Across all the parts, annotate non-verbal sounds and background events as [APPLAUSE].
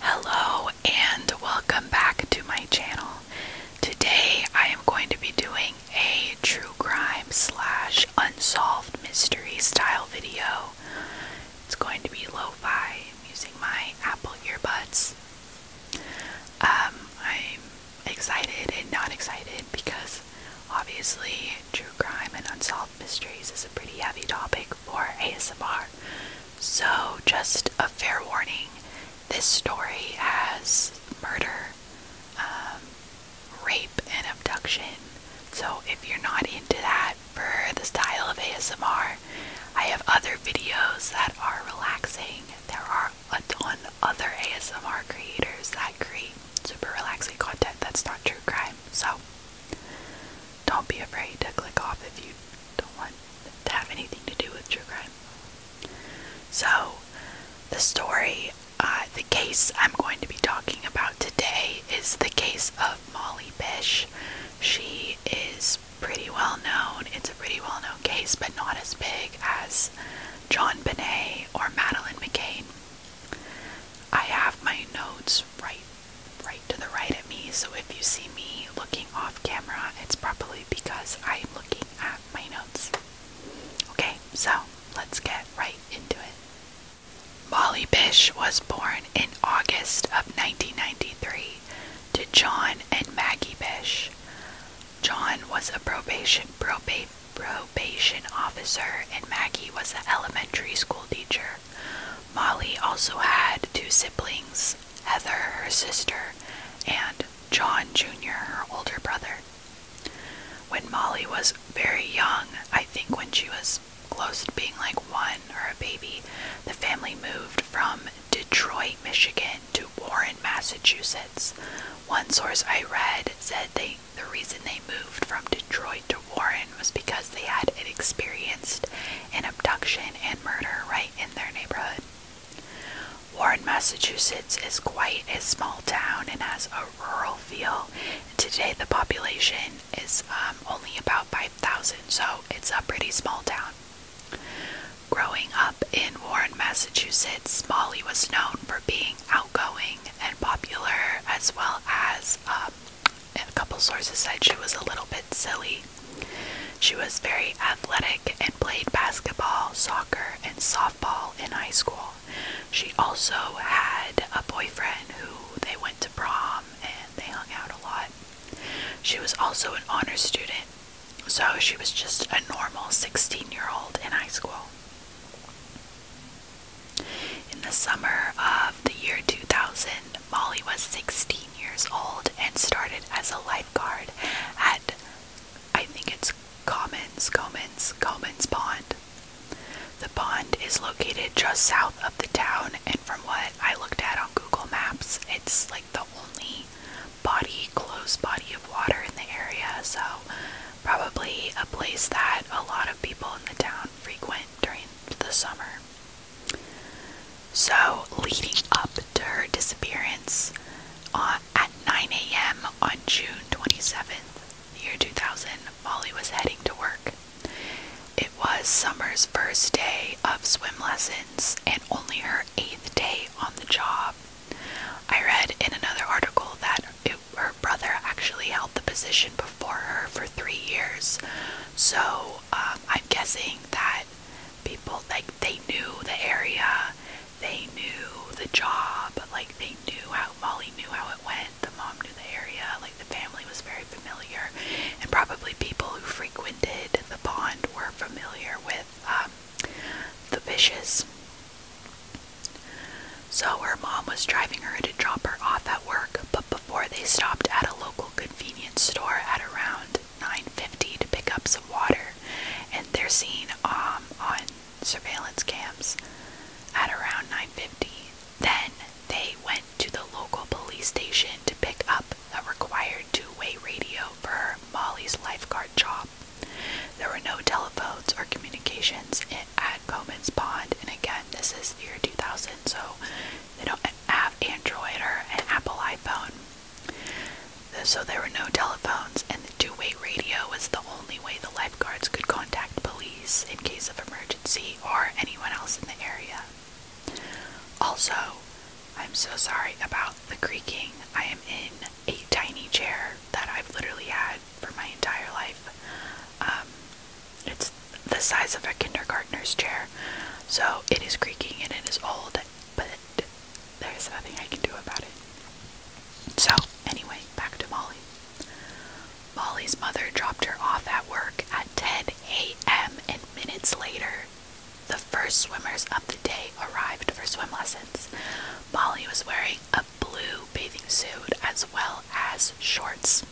Hello and welcome back to my channel. Today I am going to be doing a true crime slash unsolved mystery style video. It's going to be lo-fi. I'm using my Apple earbuds. Um, I'm excited and not excited because obviously true crime and unsolved mysteries is a pretty heavy topic for ASMR. So, just a fair warning this story has murder, um, rape, and abduction. So, if you're not into that for the style of ASMR, I have other videos that are relaxing. There are a ton other ASMR creators that create super relaxing content that's not true crime. So, don't be afraid to click off if you don't want to have anything to do with true crime. So, the story, uh, the case I'm going to be talking about today is the case of Molly Bish. She is pretty well known. It's a pretty well known case, but not as big as John Binet or Madeline McCain. I have my notes right right to the right at me, so if you see me looking off camera, it's probably because I'm looking at my notes. Okay, so let's get right into it. Molly Bish was born in August of 1993 to John and Maggie Bish. John was a probation probation officer and Maggie was an elementary school teacher. Molly also had two siblings, Heather, her sister, and John Jr., her older brother. When Molly was very young, I think when she was close to being like one or a baby, the family moved from Detroit, Michigan to Warren, Massachusetts. One source I read said they the reason they moved from Detroit to Warren was because they had experienced an abduction and murder right in their neighborhood. Warren, Massachusetts is quite a small town and has a rural feel. Today, the population is um, only about 5,000, so it's a pretty small town. Growing up in Warren, Massachusetts, Molly was known for being outgoing and popular as well as um, a couple sources said she was a little bit silly. She was very athletic and played basketball, soccer, and softball in high school. She also had a boyfriend who they went to prom and they hung out a lot. She was also an honor student, so she was just a normal 16 year old in high school. In the summer of the year 2000, Molly was 16 years old and started as a lifeguard at, I think it's Commons, Commons, Commons Pond. The pond is located just south of the town, and from what I looked at on Google Maps, it's like the only body, close body of water in the area, so probably a place that a lot of people in the town frequent during the summer. So, leading up to her disappearance uh, at 9 a.m. on June 27th, year 2000, Molly was heading to work. It was summer's first day of swim lessons and only her eighth day on the job. I read in another article that her brother actually held the position before her for three years, so um, I'm guessing that people like they knew the area, they knew the job, like they knew how Molly knew how it went. The mom knew the area, like the family was very familiar, and probably people who frequented the pond were familiar with um, the fishes. So her mom was driving her to drop her off at work but before they stopped at a local convenience store at around 9.50 to pick up some water and they're seen um, on surveillance cams at around 9.50 then they went to the local police station to pick up a required two-way radio for molly's lifeguard job there were no telephones or communications at coman's pond and again this is the year 2000 so they don't have Android or an Apple iPhone. So there were no telephones, and the two way radio was the only way the lifeguards could contact police in case of emergency or anyone else in the area. Also, I'm so sorry about the creaking. I am in a tiny chair that I've literally had for my entire life. Um, it's the size of a kindergartner's chair. So it is creaking and it is old, but there's nothing I can do about it. So, anyway, back to Molly. Molly's mother dropped her off at work at 10 a.m., and minutes later, the first swimmers of the day arrived for swim lessons. Molly was wearing a blue bathing suit as well as shorts.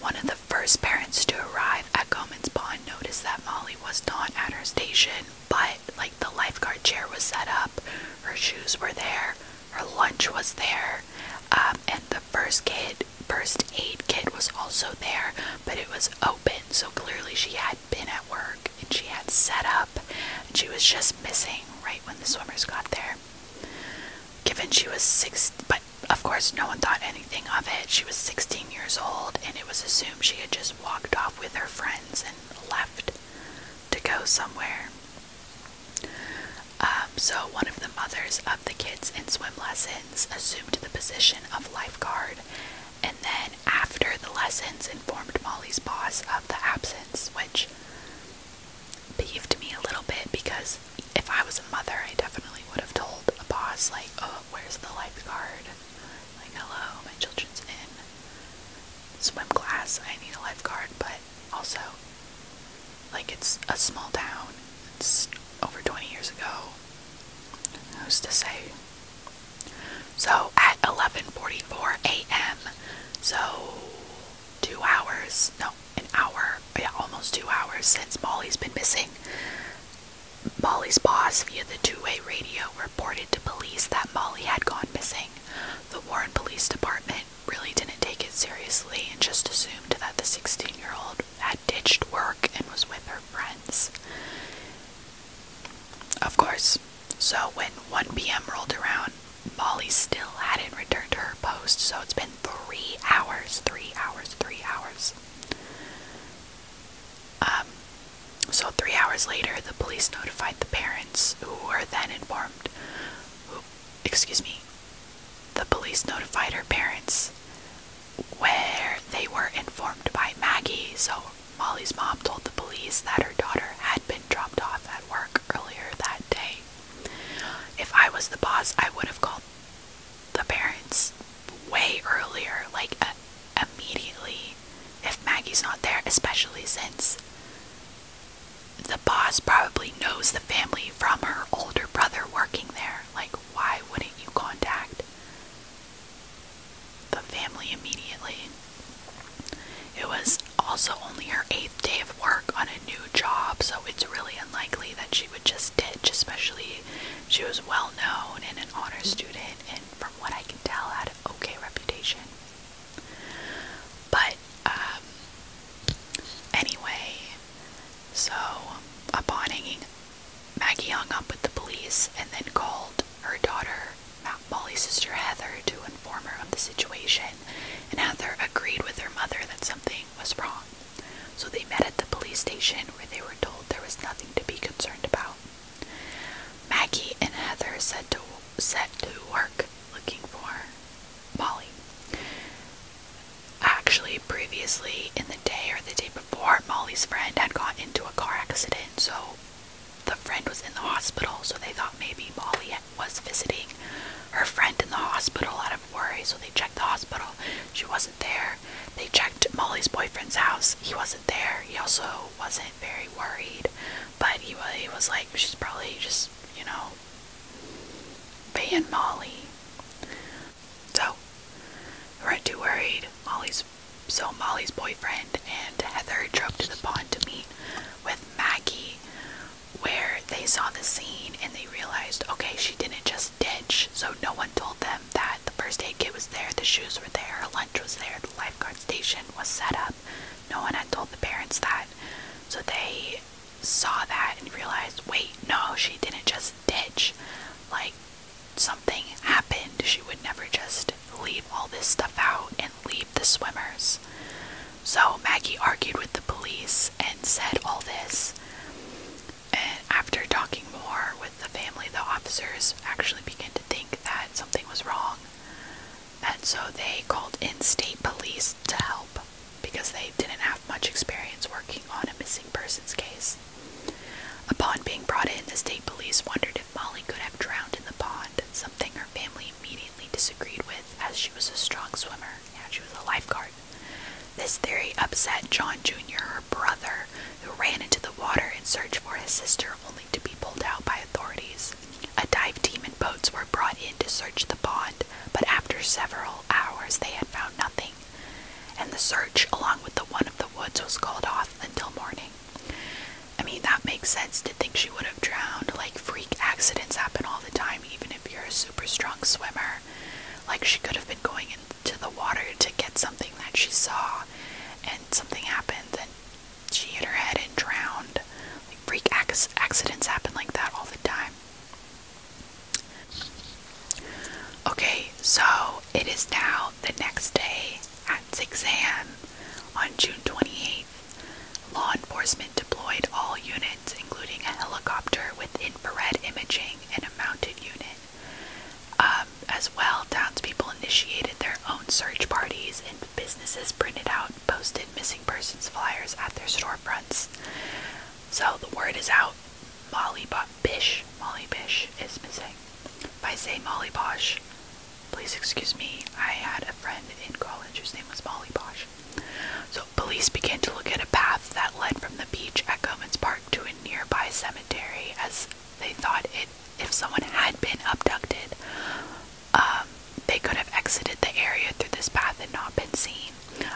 One of the first parents to arrive at Gomez Pond noticed that Molly was not at her station, but like the lifeguard chair was set up, her shoes were there, her lunch was there, um, and the first kid, first aid kit was also there, but it was open, so clearly she had been at work and she had set up, and she was just missing right when the swimmers got there. Given she was six, but of course, no one thought anything of it. She was 16 years old, and it was assumed she had just walked off with her friends and left to go somewhere. Um, so, one of the mothers of the kids in swim lessons assumed the position of lifeguard, and then, after the lessons, informed Molly's boss of the absence, which piqued me a little bit because if I was a mother, I definitely would have told a boss, like, oh, where's the lifeguard? Like, hello, my children's in swim class. I need a lifeguard, but also, like, it's a small town. It's over 20 years ago. Who's to say? So, at 11:44 a.m., so two hours, no, an hour, yeah, almost two hours since Molly's been missing. Molly's boss via the two-way radio reported to police that Molly had gone missing. The Warren Police Department really didn't take it seriously and just assumed that the 16-year-old had ditched work and was with her friends. Of course. So when 1 p.m. rolled around, Molly still hadn't returned to her post, so it's been three hours, three hours, three hours. Um, so, three hours later, the police notified the parents, who were then informed. excuse me. The police notified her parents, where they were informed by Maggie. So, Molly's mom told the police that her daughter had been dropped off at work earlier that day. If I was the boss, I would have called the parents way earlier, like immediately, if Maggie's not there, especially since the boss probably knows the family from her older brother working there. Like, why wouldn't you contact the family immediately? It was also only her eighth day of work on a new job, so it's really unlikely that she would just ditch, especially she was well known and an honor student, and from what I can tell, had an okay reputation. But, um, anyway, so upon hanging, Maggie hung up with the police and then called her daughter, Molly's sister Heather, to inform her of the situation, and Heather agreed with her mother that something was wrong. So they met at the police station where they were told there was nothing to be concerned about. Maggie and Heather set to set to work looking for Molly. Actually, previously in the day or the day before, Molly's friend had got into a car accident, so the friend was in the hospital, so they thought maybe Molly was visiting her friend in the hospital out of worry, so they checked the hospital. She wasn't there. They checked Molly's boyfriend's house. He wasn't there. He also wasn't very worried, but he, he was like, she's probably just, you know, being Molly. So, we weren't too worried. Molly's so Molly's boyfriend and Heather drove to the pond to meet with Maggie, where they saw the scene and they realized, okay, she didn't just ditch. So no one told them that the first aid kit was there, the shoes were there, lunch was there, the lifeguard station was set up. No one had told the parents that. So they saw that and realized wait, no, she didn't just ditch. Like, something happened. She would never just leave all this stuff out and leave the swimmers. So Maggie argued with the police and said all this. And after talking more with the family, the officers actually began to think that something was wrong. And so they called in state police to help because they didn't have much experience working on a missing persons case. Upon being brought in, the state police wondered if Molly could have drowned in the pond, something her family immediately disagreed with as she was a strong swimmer. Yeah, she was a lifeguard. This theory upset John Jr., brother, who ran into the water in search for his sister only to be pulled out by authorities. A dive team and boats were brought in to search the pond, but after several hours they had found nothing, and the search, along with the one of the woods, was called off until morning. I mean, that makes sense to think she would have drowned. Like, freak accidents happen all the time, even if you're a super strong swimmer. Like, she could have been going in to the water to get something that she saw and something happened and she hit her head and drowned. freak accidents happen like that all the time. Okay, so it is now the next day at 6 a.m. on June 28th. Law enforcement deployed all units, including a helicopter with infrared imaging and a mounted unit. Um, as well, townspeople initiated their own search parties, and businesses printed out, posted missing persons flyers at their storefronts. So the word is out. Molly Bo Bish, Molly Bish is missing. If I say Molly Bosh, please excuse me. I had a friend in college whose name was Molly Bosh. So police began to look at a path that led from the beach at Gomans Park to nearby cemetery as they thought it if someone had been abducted, um, they could have exited the area through this path and not been seen.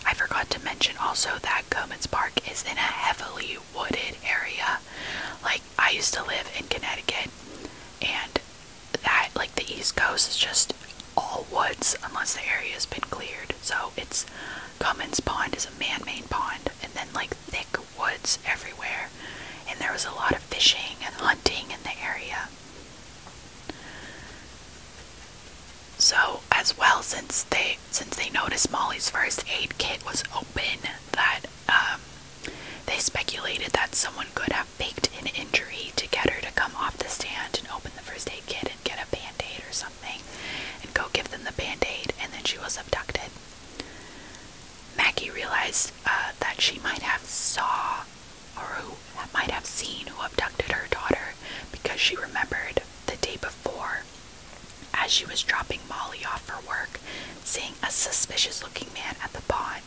I forgot to mention also that Comins Park is in a heavily wooded area. Like I used to live in Connecticut and that like the East Coast is just all woods unless the area has been cleared. So it's Cummins Pond is a man-made pond, and then like thick woods everywhere, and there was a lot of fishing and hunting in the area. So as well, since they since they noticed Molly's first aid kit was open, that um, they speculated that someone could have faked an injury to get her to come off the stand and open the first aid kit and get a band-aid or something and go give them the band-aid and then she was abducted Maggie realized uh, that she might have saw or who might have seen who abducted her daughter because she remembered the day before as she was dropping Molly off for work, seeing a suspicious looking man at the pond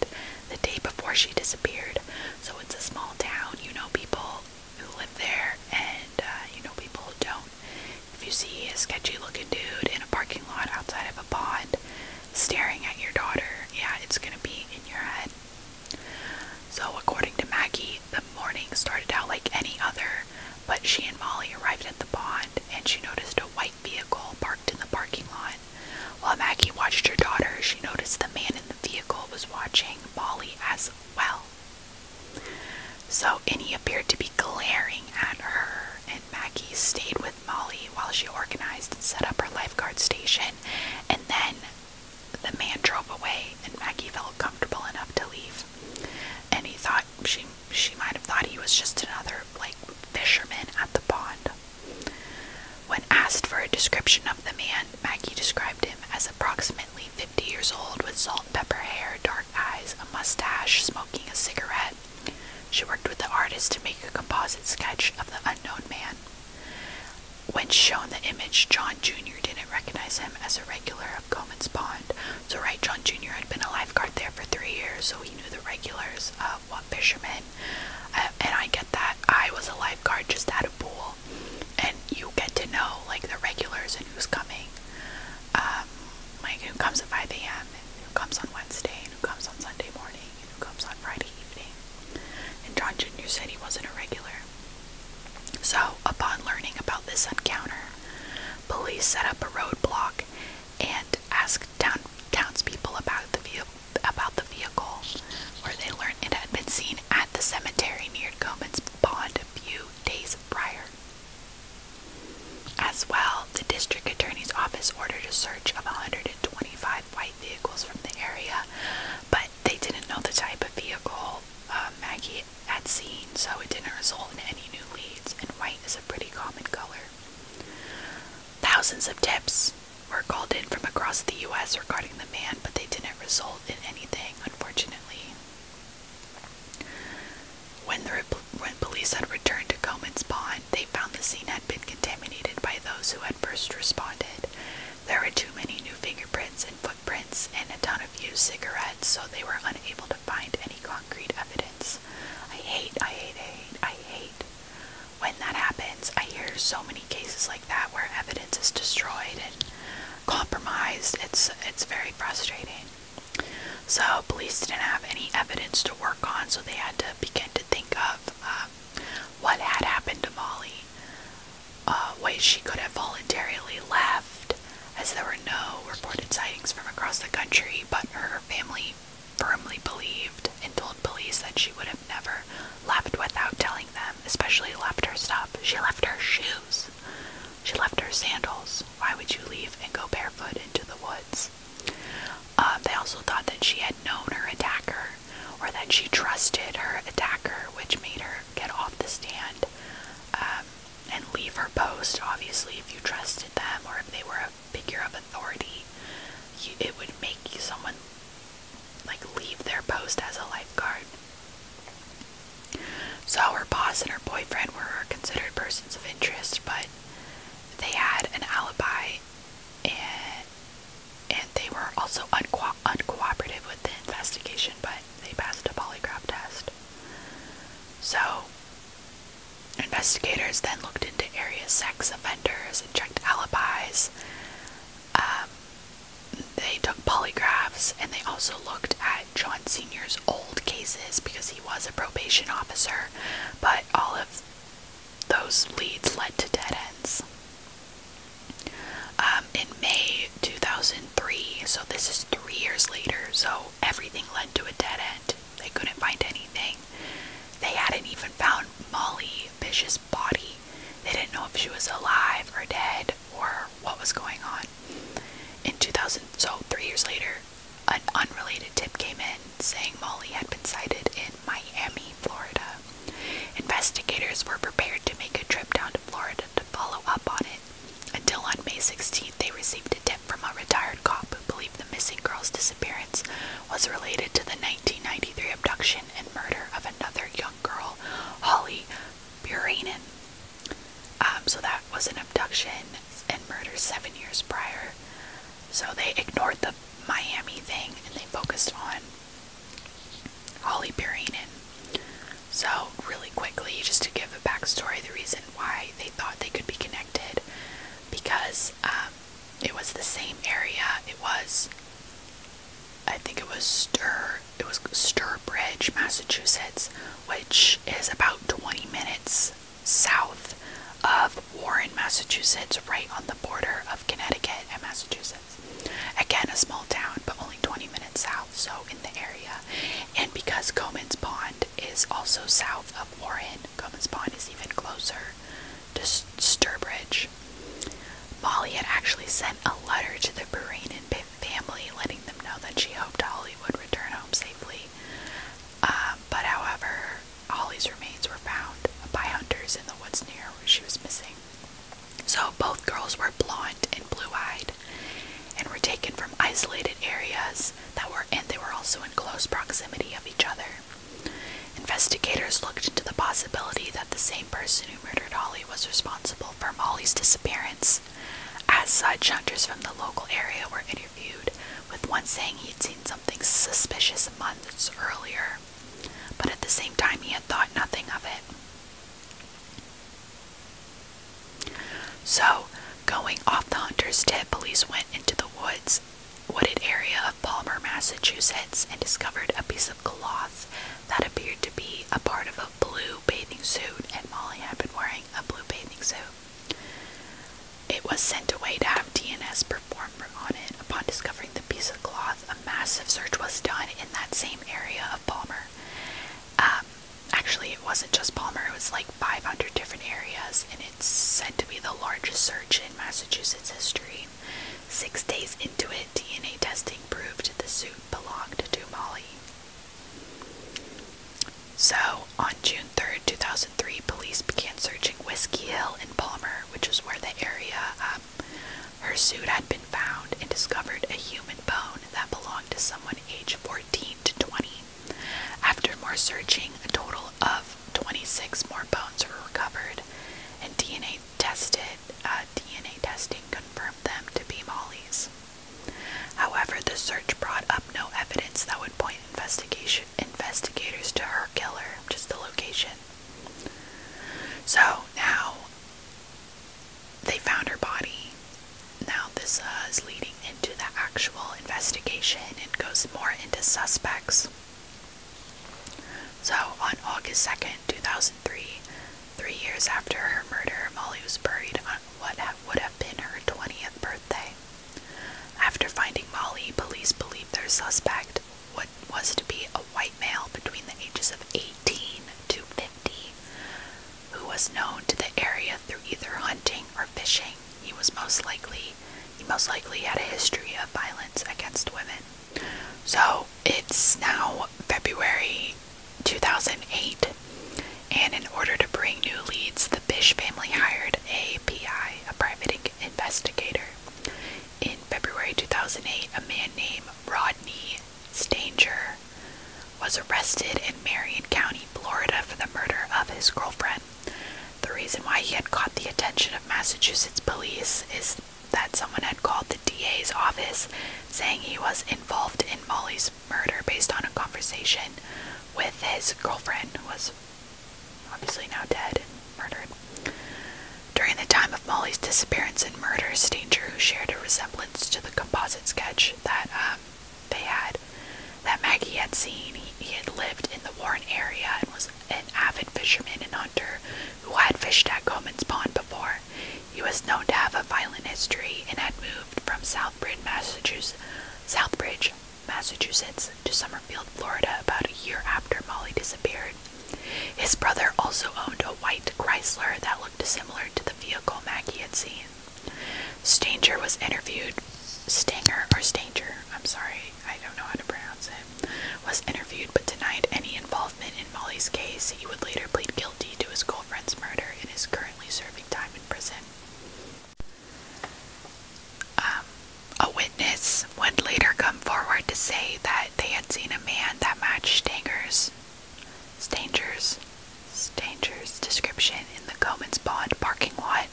the day before she disappeared. So it's a small town, you know, people who live there and, uh, you know, people who don't. If you see a sketchy looking dude in a parking lot outside of a pond staring at your daughter, yeah, it's gonna be in your head. So, according to Maggie, the morning started out like any other, but she and Molly arrived at the pond and she noticed a white vehicle parked in the parking lot. While Maggie watched her daughter, she noticed the man in the vehicle was watching Molly as well. So Innie appeared to be glaring at her, and Maggie stayed with Molly while she organized and set up her lifeguard station. And then the man drove away, and Maggie felt comfortable enough to leave. And he thought she she might have thought he was just another like fisherman at the pond. When asked for a description of the man, Maggie described him as approximately 50 years old with salt and pepper hair, dark eyes, a mustache, smoking a cigarette. She worked with the artist to make a composite sketch of the unknown man. When shown the image, John Jr. didn't recognize him as a regular of Coleman's Pond. So, right, John Jr. had been a lifeguard there for three years, so he knew the regulars, of what fishermen. Uh, and I get that. I was a lifeguard just at a pool, and you get to know, like, the regulars and who's coming um, like who comes at 5 a.m., and who comes on Wednesday, and who comes on Sunday morning, and who comes on Friday evening. And John Jr. said he wasn't a regular. So, upon learning about this encounter, police set up a roadblock and asked town townspeople about the vehicle. About the vehicle, where they learned it had been seen at the cemetery near Goman's Pond a few days prior. As well, the district attorney's office ordered a search of 125 white vehicles from the area, but they didn't know the type of vehicle uh, Maggie had seen, so it didn't result in any new leads, and white is a pretty common color. Thousands of tips were called in from across the U.S. regarding the man, but they didn't result in anything, unfortunately. When, the, when police had returned to Comins Pond, they found the scene had been contaminated by those who had first responded. There were too many new fingerprints and footprints and a ton of used cigarettes, so they were unable to find any concrete evidence. I hate, I hate, I hate, I hate when that happens. I hear so many cases like that where evidence is destroyed and compromised. It's it's very frustrating. So, police didn't have any evidence to work on, so they had to begin to think of um, what had happened to Molly. Uh, why she could have voluntarily left, as there were no reported sightings from across the country, but her family firmly believed and told police that she would have never left without telling them, especially left her stuff. She left her shoes. She left her sandals. Why would you leave and go barefoot into the woods? Um, they also thought that she had known her attacker or that she trusted her attacker, which made her get off the stand um, and leave her post. Obviously, if you trusted them or if they were a figure of authority, it would make someone like leave their post as a lifeguard. So her boss and her boyfriend were considered persons of interest, but they had an alibi and and they were also uncooperative with the investigation, but they passed a polygraph test. So investigators then looked into area sex offenders and checked alibis. Um, they took polygraphs and they also looked at joint Sr.'s old cases because he was a probation officer, but all of those leads led to dead ends. Um, in May 2003, so this is three years later, so everything led to a dead end. They couldn't find anything. They hadn't even found Molly Bish's body. They didn't know if she was alive or dead or what was going on. In 2000, so three years later, an unrelated tip came in saying Molly had been sighted in Miami, Florida. Investigators were prepared to make a trip down to Florida to follow up on it. Until on May 16th, they received a tip from a retired cop who believed the missing girl's disappearance was related to the 1993 abduction and murder of another young girl, Holly Buranin. Um, so that was an abduction and murders seven years prior. So they ignored the Miami thing and they focused on Holly Perrynan. So, really quickly, just to give a backstory, the reason why they thought they could be connected because um, it was the same area. It was, I think it was Stir, it was Stir Massachusetts, which is about 20 minutes south of Warren, Massachusetts, right on the border of Connecticut and Massachusetts. Again, a small town, but only 20 minutes south, so in the area. And because Comins Pond is also south of Warren, Comins Pond is even closer to Sturbridge. Molly had actually sent a letter to the Beranin family letting them know that she hoped Holly would return home safely. Um, but however, Holly's remains were found by hunters in the woods near where she was missing. So both girls were blonde and blue-eyed and were taken from isolated areas that were and they were also in close proximity of each other. Investigators looked into the possibility that the same person who murdered Holly was responsible for Molly's disappearance. As such, hunters from the local area were interviewed, with one saying he'd seen something suspicious months earlier, but at the same time he had thought nothing of it. So, going off the hunter's tip, police went into the woods, wooded area of Palmer, Massachusetts, and discovered a piece of cloth that appeared to be a part of a blue bathing suit, and Molly had been wearing a blue bathing suit. It was sent away to have DNS performed on it. Upon discovering the piece of cloth, a massive search was done in that same area of Palmer. Um, actually, it wasn't just Palmer, it was like 500 different areas, and it's said to be the largest search in Massachusetts history. Six days into it, DNA testing proved the suit belonged to Molly. So, on June 3, 2003, police began searching Whiskey Hill in Palmer, which is where the area um, her suit had been found, and discovered a human bone that belonged to someone aged 14 to 20. After more searching, a total of 26 more bones were recovered, and DNA tested. Uh, DNA testing confirmed them to be Molly's. However, the search brought up no evidence that would point investigation investigators to her killer, just the location. So now they found her body. Now this uh, is leading into the actual investigation and goes more into suspects. So on August 2nd, 2003, three years after her murder, Molly was buried on what would have been her 20th birthday. After finding Molly, police believe their suspect, what was to be a white male between the ages of 18 to 50, who was known to the area through either hunting or fishing. He was most likely he most likely had a history of violence against women. So it's now February 2008, and in order to bring new leads, the Bish family hired a PI, a private investigator. In February 2008, a man named Rodney Stanger was arrested in Marion County, Florida for the murder of his girlfriend. The reason why he had caught the attention of Massachusetts police is that someone had called the DA's office saying he was involved in Molly's murder based on a conversation with his girlfriend who was obviously now dead and murdered. During the time of Molly's disappearance and murder, Stanger, who shared a resemblance to the composite sketch that um, they had, that Maggie had seen, he had lived in the Warren area and was an avid fisherman and hunter who had fished at Coleman's Pond before. He was known to have a violent history and had moved from Southbridge, Massachusetts, Southbridge, Massachusetts to Summerfield, Florida, about a year after Molly disappeared. His brother also owned a white Chrysler that looked similar to the vehicle Maggie had seen. Stanger was interviewed. Stanger or Stanger, I'm sorry, I don't know how to pronounce it, was interviewed but denied any involvement in Molly's case. He would later plead guilty to his girlfriend's murder and is currently serving time in prison. Um, a witness would later come forward to say that they had seen a man that matched Stanger's, Stanger's, Stanger's description in the Comans Pond parking lot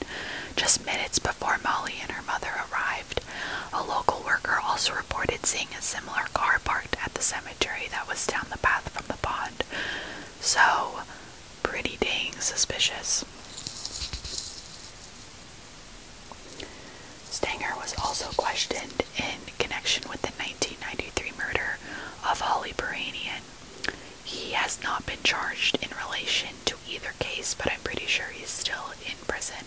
just minutes before Molly and her mother arrived. A local worker also reported seeing a similar car parked at the cemetery that was down the path from the pond. So, pretty dang suspicious. Stanger was also questioned in connection with the 1993 murder of Holly Beranian. He has not been charged in relation to either case, but I'm pretty sure he's still in prison.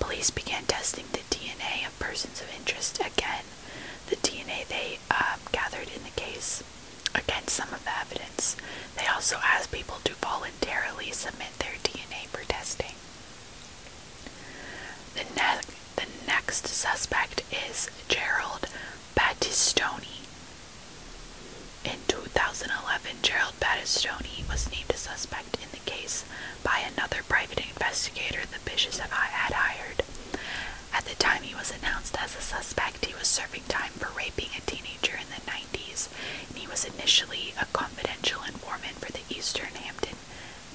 Police began testing the DNA of persons of interest again. The DNA they um, gathered in the case Against some of the evidence, they also asked people to voluntarily submit their DNA for testing. The, the next suspect is Gerald Battistoni. In 2011, Gerald Battistoni was named a suspect in the case by another private investigator the Bishops had hired. At the time he was announced as a suspect, he was serving time for raping a teenager in the 90s, he was initially a confidential informant for the Eastern Hampton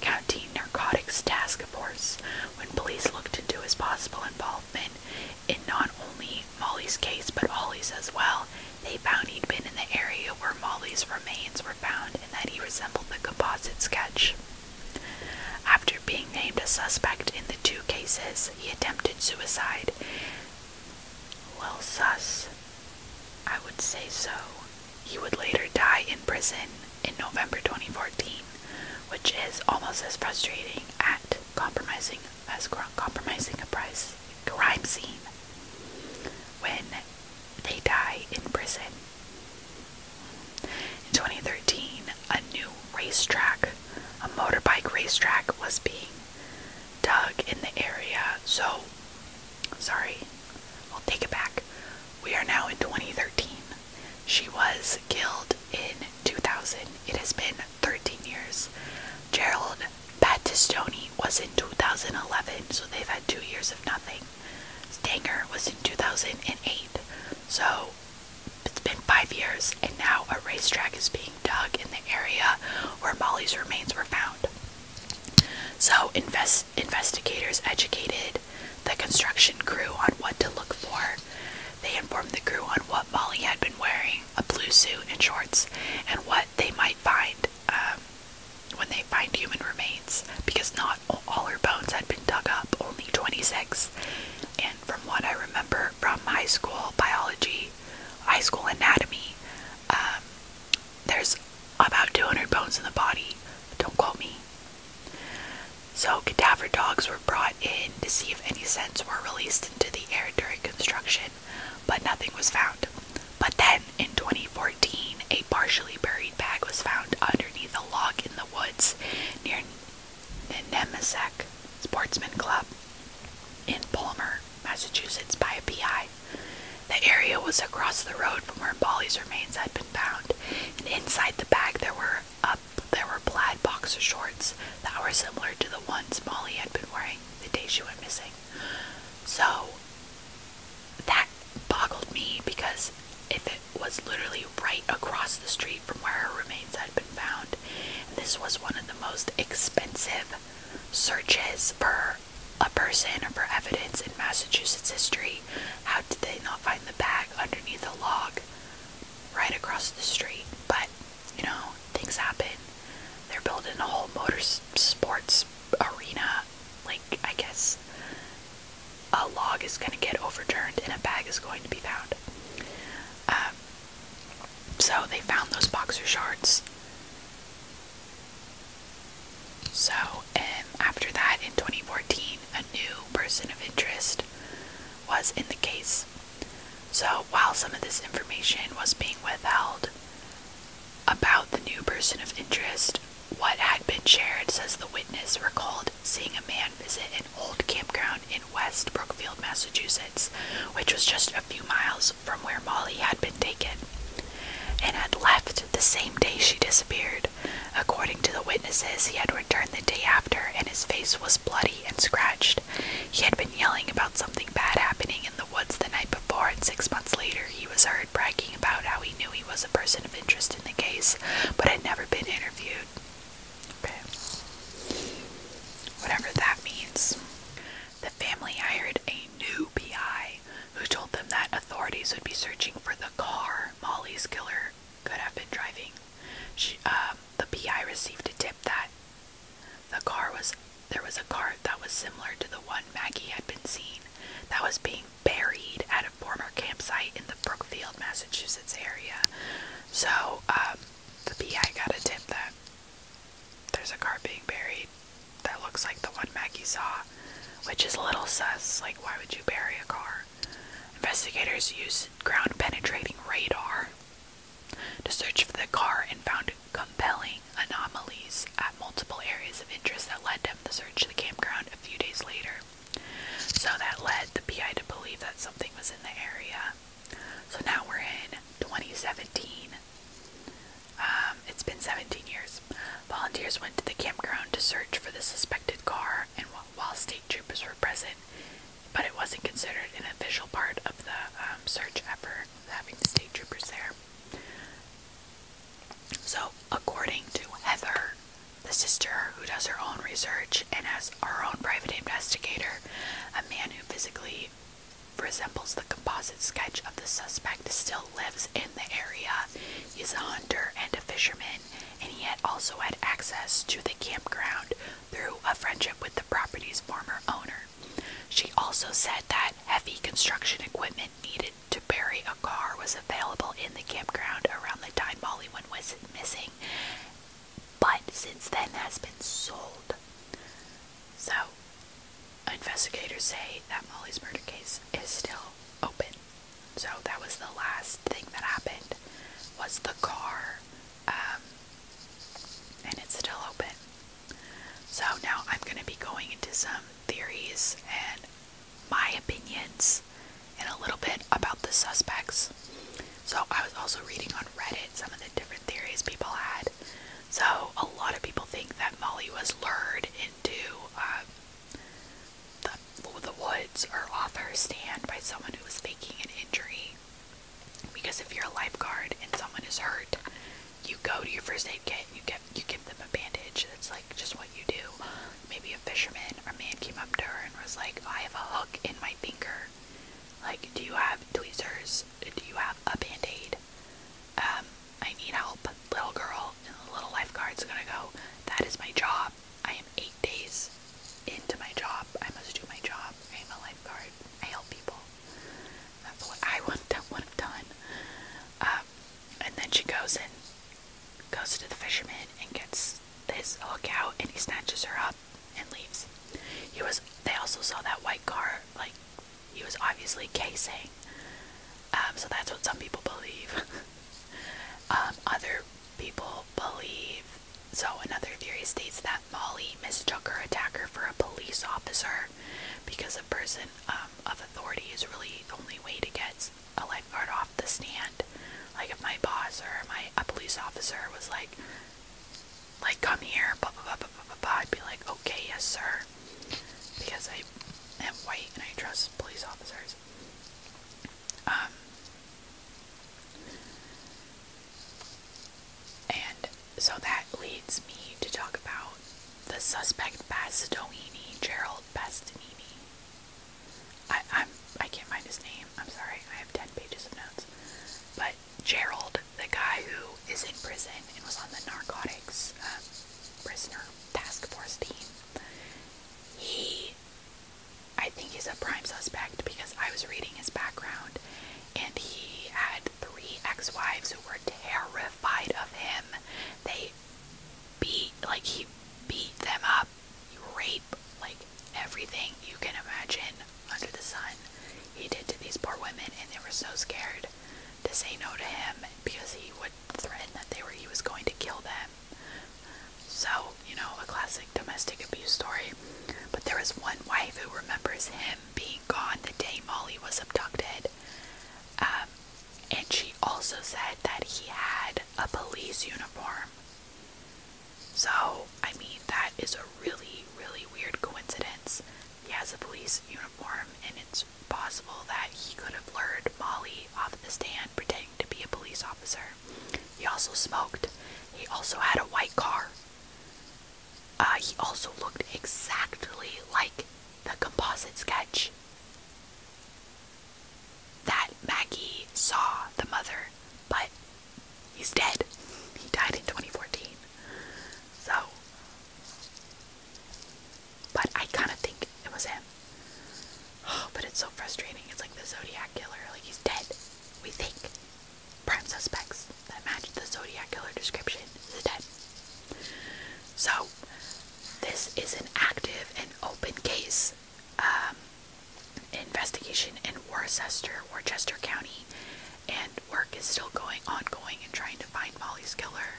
County Narcotics Task Force. When police looked into his possible involvement in not only Molly's case but Ollie's as well, they found he'd been in the area where Molly's remains were found and that he resembled the composite sketch. After being named a suspect in the two cases, he attempted suicide well, sus. I would say so. He would later die in prison in November 2014, which is almost as frustrating at compromising as compromising a crime scene when they die in prison. In 2013, a new racetrack, a motorbike racetrack, was being dug in the area. So, sorry, I'll take it back. We are now in 2013. She was killed in 2000. It has been 13 years. Gerald Battistoni was in 2011, so they've had two years of nothing. Stanger was in 2008. So it's been five years, and now a racetrack is being dug in the area where Molly's remains were found. So, invest, investigators educated the construction crew on what to look for. They informed the crew on what Molly had been wearing a blue suit and shorts and what they might find um, when they find human remains because not all her bones had been dug up, only 26. And from what I remember from high school biology, high school anatomy, there's about 200 bones in the body. Don't quote me. So, cadaver dogs were brought in to see if any scents were released into the air during construction, but nothing was found. But then, in 2014, a partially buried bag was found underneath a log in the woods near the Nemesak Sportsman Club in Palmer, Massachusetts, by a PI. The area was across the road from where Bolly's remains had been found, and inside the bag there were up there were plaid boxer shorts that were similar to the ones Molly had been wearing the day she went missing. So that boggled me because if it was literally right across the street from where her remains had been found, this was one of the most expensive searches for a person or for evidence in Massachusetts history. How did they not find the bag underneath the log right across the street? But, you know, things happen. They're building a whole motor sports arena. Like, I guess a log is going to get overturned and a bag is going to be found. Um, so they found those boxer shorts. So, um, after that, in 2014, a new person of interest was in the case. So, while some of this information was being withheld about the new person of interest, what had been shared says the witness recalled seeing a man visit an old campground in West Brookfield, Massachusetts, which was just a few miles from where Molly had been taken, and had left the same day she disappeared. According to the witnesses, he had returned the day after and his face was bloody and scratched. He had been yelling about something bad happening in the woods the night before, and six months later he was heard bragging about how he knew he was a person of interest in the case but had never been interviewed. Whatever that means. The family hired a new PI who told them that authorities would be searching for the car Molly's killer could have been driving. She, um, the PI received a tip that the car was there was a car that was similar to the one Maggie had been seen that was being buried at a former campsite in the Brookfield, Massachusetts area. So um, the PI got a tip that there's a car being buried that looks like the one Maggie saw, which is a little sus. Like, why would you bury a car? Investigators used ground penetrating radar to search for the car and found compelling anomalies at multiple areas of interest that led them to search the campground a few days later. So that led the PI to believe that something was in the area. So now we're in 2017. Um, it's been 17 years. Volunteers went to the campground to search for the suspected car, and while state troopers were present, but it wasn't considered an official part of the um, search effort, having the state troopers there. So, according to Heather, the sister who does her own research and as her own private investigator, a man who physically resembles the composite sketch of the suspect, still lives in the area. is a hunter and a fisherman, and he had also had access to the campground through a friendship with the property's former owner. She also said that heavy construction equipment needed to bury a car was available in the campground around the time Molly went was missing, but since then has been sold. So, investigators say that Molly's murder case is still open. So that was the last thing that happened was the car, um, and it's still open. So now I'm going to be going into some theories and my opinions and a little bit about the suspects. So I was also reading on Reddit some of the different different theories people had. So a lot of people think that Molly was lured into um, the, the woods or off her stand by someone who was faking an injury. Because if you're a lifeguard and someone is hurt, you go to your first aid kit and you get you give them a bandage. It's like just what you do. Maybe a fisherman or man came up to her and was like, I have a hook in my finger. Like, do you have tweezers? do you have a band Um, I need help, little girl. And the little lifeguard's gonna go, that is my job. I am eight days into my job. I must do my job. I am a lifeguard. I help people. That's what I [LAUGHS] would have done. Um, and then she goes and goes to the fisherman and gets this hook out and he snatches her up and leaves. He was. They also saw that white car. Like he was obviously casing. Um, so that's what some people believe. [LAUGHS] Um, other people believe. So another theory states that Molly mistook her attacker for a police officer, because a person um, of authority is really the only way to get a lifeguard off the stand. Like if my boss or my a police officer was like, like come here, blah blah blah blah blah blah. I'd be like, okay, yes, sir, because I am white and I trust police officers. Um, and so that leads me to talk about the suspect Bastoini, Gerald Bastoini. I I'm I can't find his name. I'm sorry. I have ten pages of notes, but Gerald, the guy who is in prison and was on the narcotics um, prisoner task force team, he, I think, he's a prime suspect because I was reading his background and he had three ex wives who were terrified of him. They beat, like, he beat them up, rape, like, everything you can imagine under the sun he did to these poor women, and they were so scared to say no to him because he would threaten that they were he was going to kill them. So, you know, a classic domestic abuse story. But there was one wife who remembers him being gone the day Molly was abducted. Um, and she also said that he had a police uniform. So, I mean, that is a really, really weird coincidence he has a police uniform, and it's possible that he could have lured Molly off the stand pretending to be a police officer. He also smoked. He also had a white car. Uh, he also looked exactly like the composite sketch that Maggie saw the mother, but he's dead. He died in 2014. So, but I kind of think it was him. Oh, but it's so frustrating. It's like the Zodiac killer. Like he's dead. We think prime suspects that match the Zodiac killer description is dead. So, this is an active and open case. Um, investigation in Worcester, Worcester County, and work is still going ongoing and trying to find Molly's killer.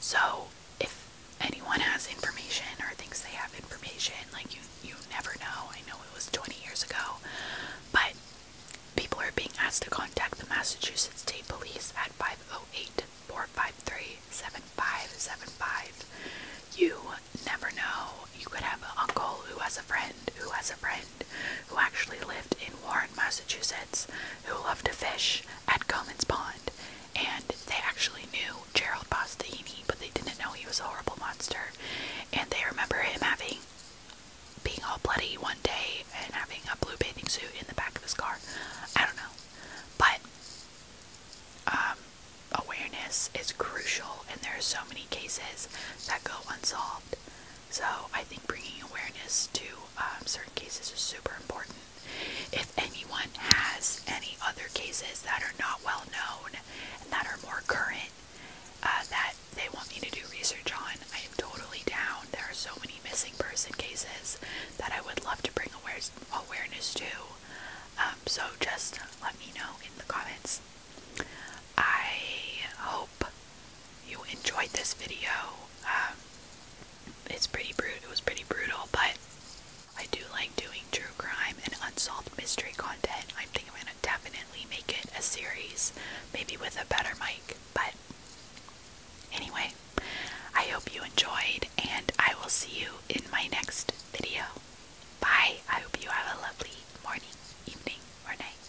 So if anyone has information or thinks they have information, like you you never know. I know it was 20 years ago, but people are being asked to contact the Massachusetts State Police at 508-453-7575. You never know. You could have an uncle who has a friend who has a friend who actually lived in Warren, Massachusetts, who loved to fish at Comins Pond. And they actually knew Gerald Bostini, but they didn't know he was a horrible monster. And they remember him having being all bloody one day and having a blue bathing suit in the back of his car. I don't know. But um, awareness is crucial, and there are so many cases that go unsolved. So I think bringing awareness to um, certain cases are super important. If anyone has any other cases that are not well known and that are more current, uh, that they want me to do research on, I am totally down. There are so many missing person cases that I would love to bring awares awareness to. Um, so just let me know in the comments. I hope you enjoyed this video. Um, it's pretty brutal. It was pretty brutal, but I do like doing true crime and unsolved mystery content. I think I'm gonna definitely make it a series, maybe with a better mic. But anyway, I hope you enjoyed, and I will see you in my next video. Bye. I hope you have a lovely morning, evening, or night.